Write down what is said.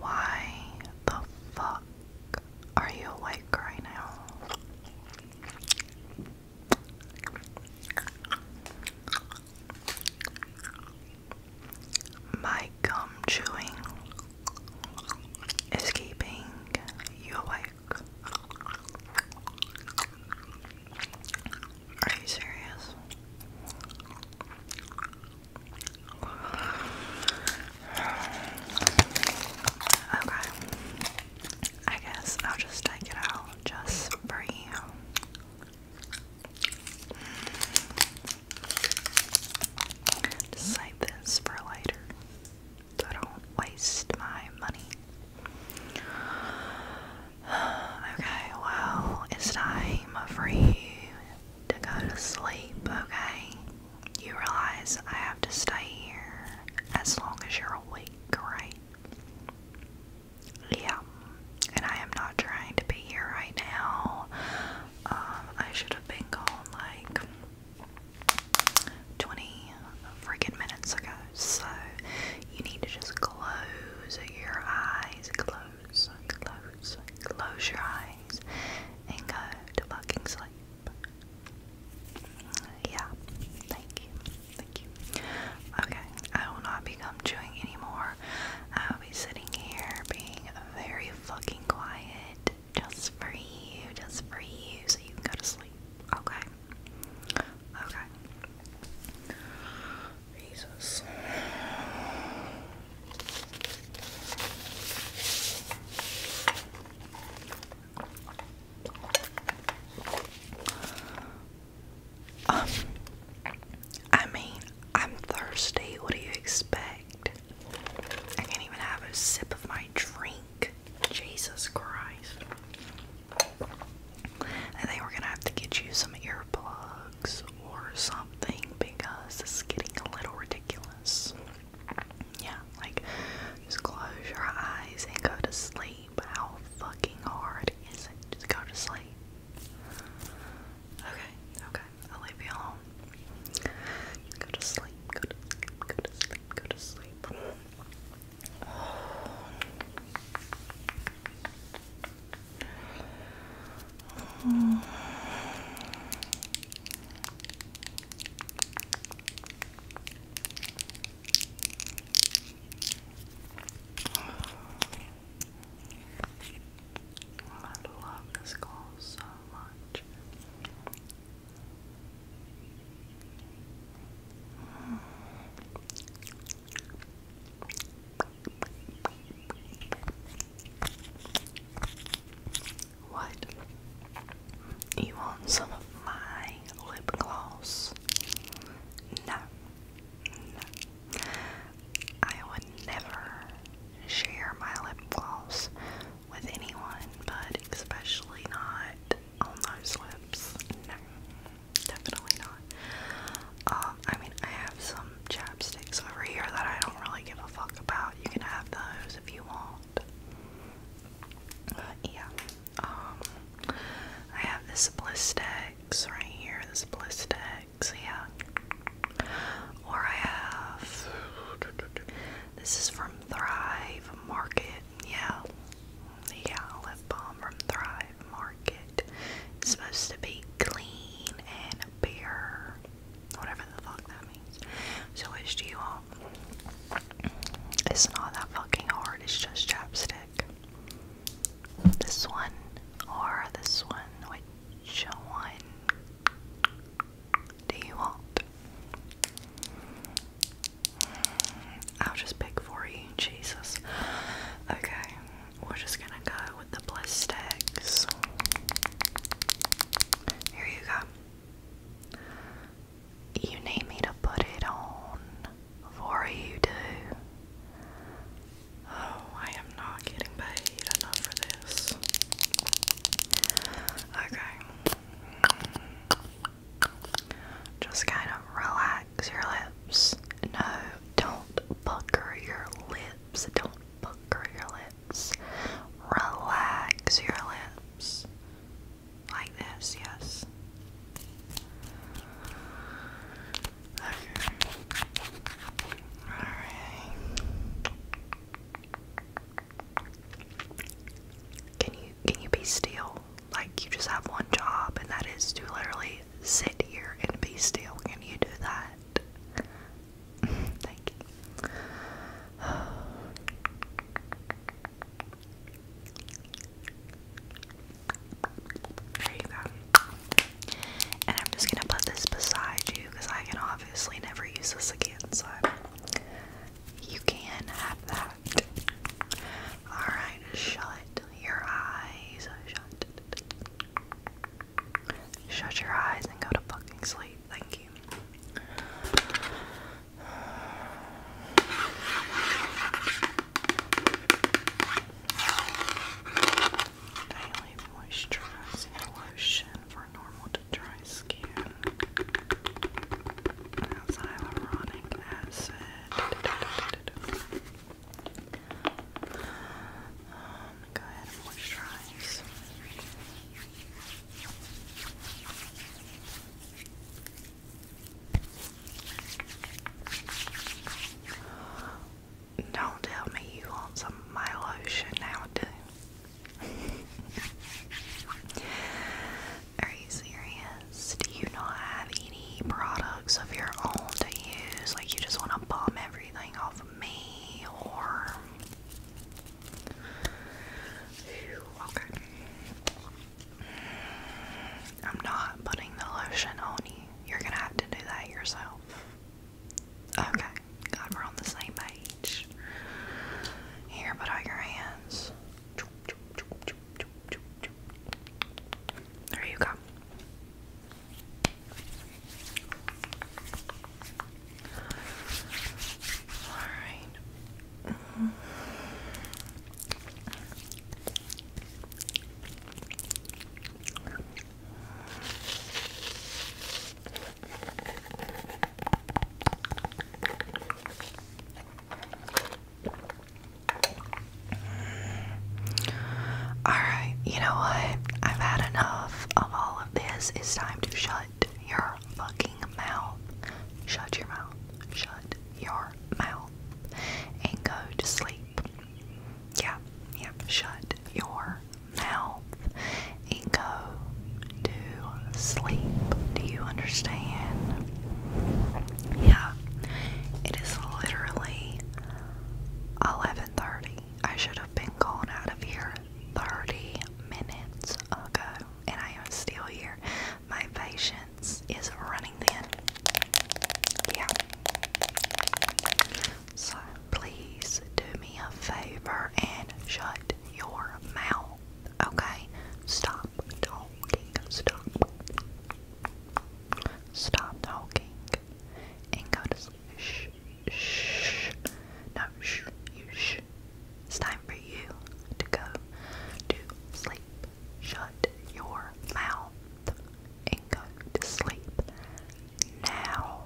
Why the fuck are you awake right now? My gum chewing is keeping you awake. Are you serious? Okay. I guess I'll just take it out just for you save this for later don't waste my money. Okay, well, it's time for you to go to sleep, okay? You realize I have to stay here as long as you're awake, right? yeah, and I am not trying to be here right now. Um, I should have been gone like 20 freaking minutes ago, so you need to just close your eyes, close, close, close your eyes, and go to fucking sleep. Yeah, thank you. Thank you. Okay, I will not become chewing anymore. I will be sitting here being very fucking quiet just for you, just for you, so you can go to sleep. Okay? Okay. Jesus. Um, I mean, I'm thirsty. What do you expect? I can't even have a sip of my drink. Jesus Christ. I think we're gonna have to get you some earplugs or something because this getting a little ridiculous. Yeah, like just close your eyes and go to sleep sleep. How fucking hard is it? Just go to sleep. Okay, okay, I'll leave you alone. go to sleep, go to sleep, go to sleep, go to sleep. I love this call so much. What? You want some of my lip gloss? No. I would never share my lip gloss with anyone, but especially not on those lips. Definitely not. Um, I mean, I have some chapsticks over here that I don't really give a fuck about. You can have those if you want yeah. Um, I have this Blistex right here. This Blistex, yeah. Or I have. This is from Thrive Market, yeah. Yeah, lip balm from Thrive Market. It's supposed to be clean and pure. Whatever the fuck so which do you want? It's not that fucking hard, it's just chapstick. This one or this one, which one do you want? Mm, I'll just pick for you, Jesus. Okay, we're just gonna go with the bliss Here you go. You need me to put it on for you, do? Oh, I am not getting paid enough for this. Okay. Just kind of relax your lips. No, don't pucker your lips. Don't pucker your lips. Relax your lips. Like this, yes. Alright. Can you can you be still? Like you just have one job and that is to literally sit here and be still. Can you do that? Thank you. There you go. And I'm just gonna put this beside you because I can obviously never use this again, so you can have that. Alright, shut your eyes. Shut. Shut your eyes and go to fucking sleep. Thank you. Daily moisturizing lotion for normal to dry skin. hyaluronic acid going go ahead and moisturize. Don't tell me you want some my lotion now, do? Are you serious? Do you not have any products of your own to use? Like you just want to bomb everything off me or okay. I'm not putting the lotion on you. You're gonna have to do that yourself. Okay, God, we're on the same page. Here, put out your hands. There you go. Alright. Mm -hmm. Alright, you know what? I've had enough of all of this. It's time to shut your fucking mouth. Shut your mouth. Shut your mouth. And go to sleep. Yeah, yeah. Shut your mouth and go to sleep. Do you understand? Yeah. It is literally 11:30. I should have been gone out of here 30 minutes ago, and I am still here. My patience is running thin. Yeah. So please do me a favor and shut your mouth. Okay? Stop talking. Stop. Stop talking and go to sleep. Shh, shh. No, shh, shh. It's time for you to go to sleep. Shut your mouth and go to sleep now.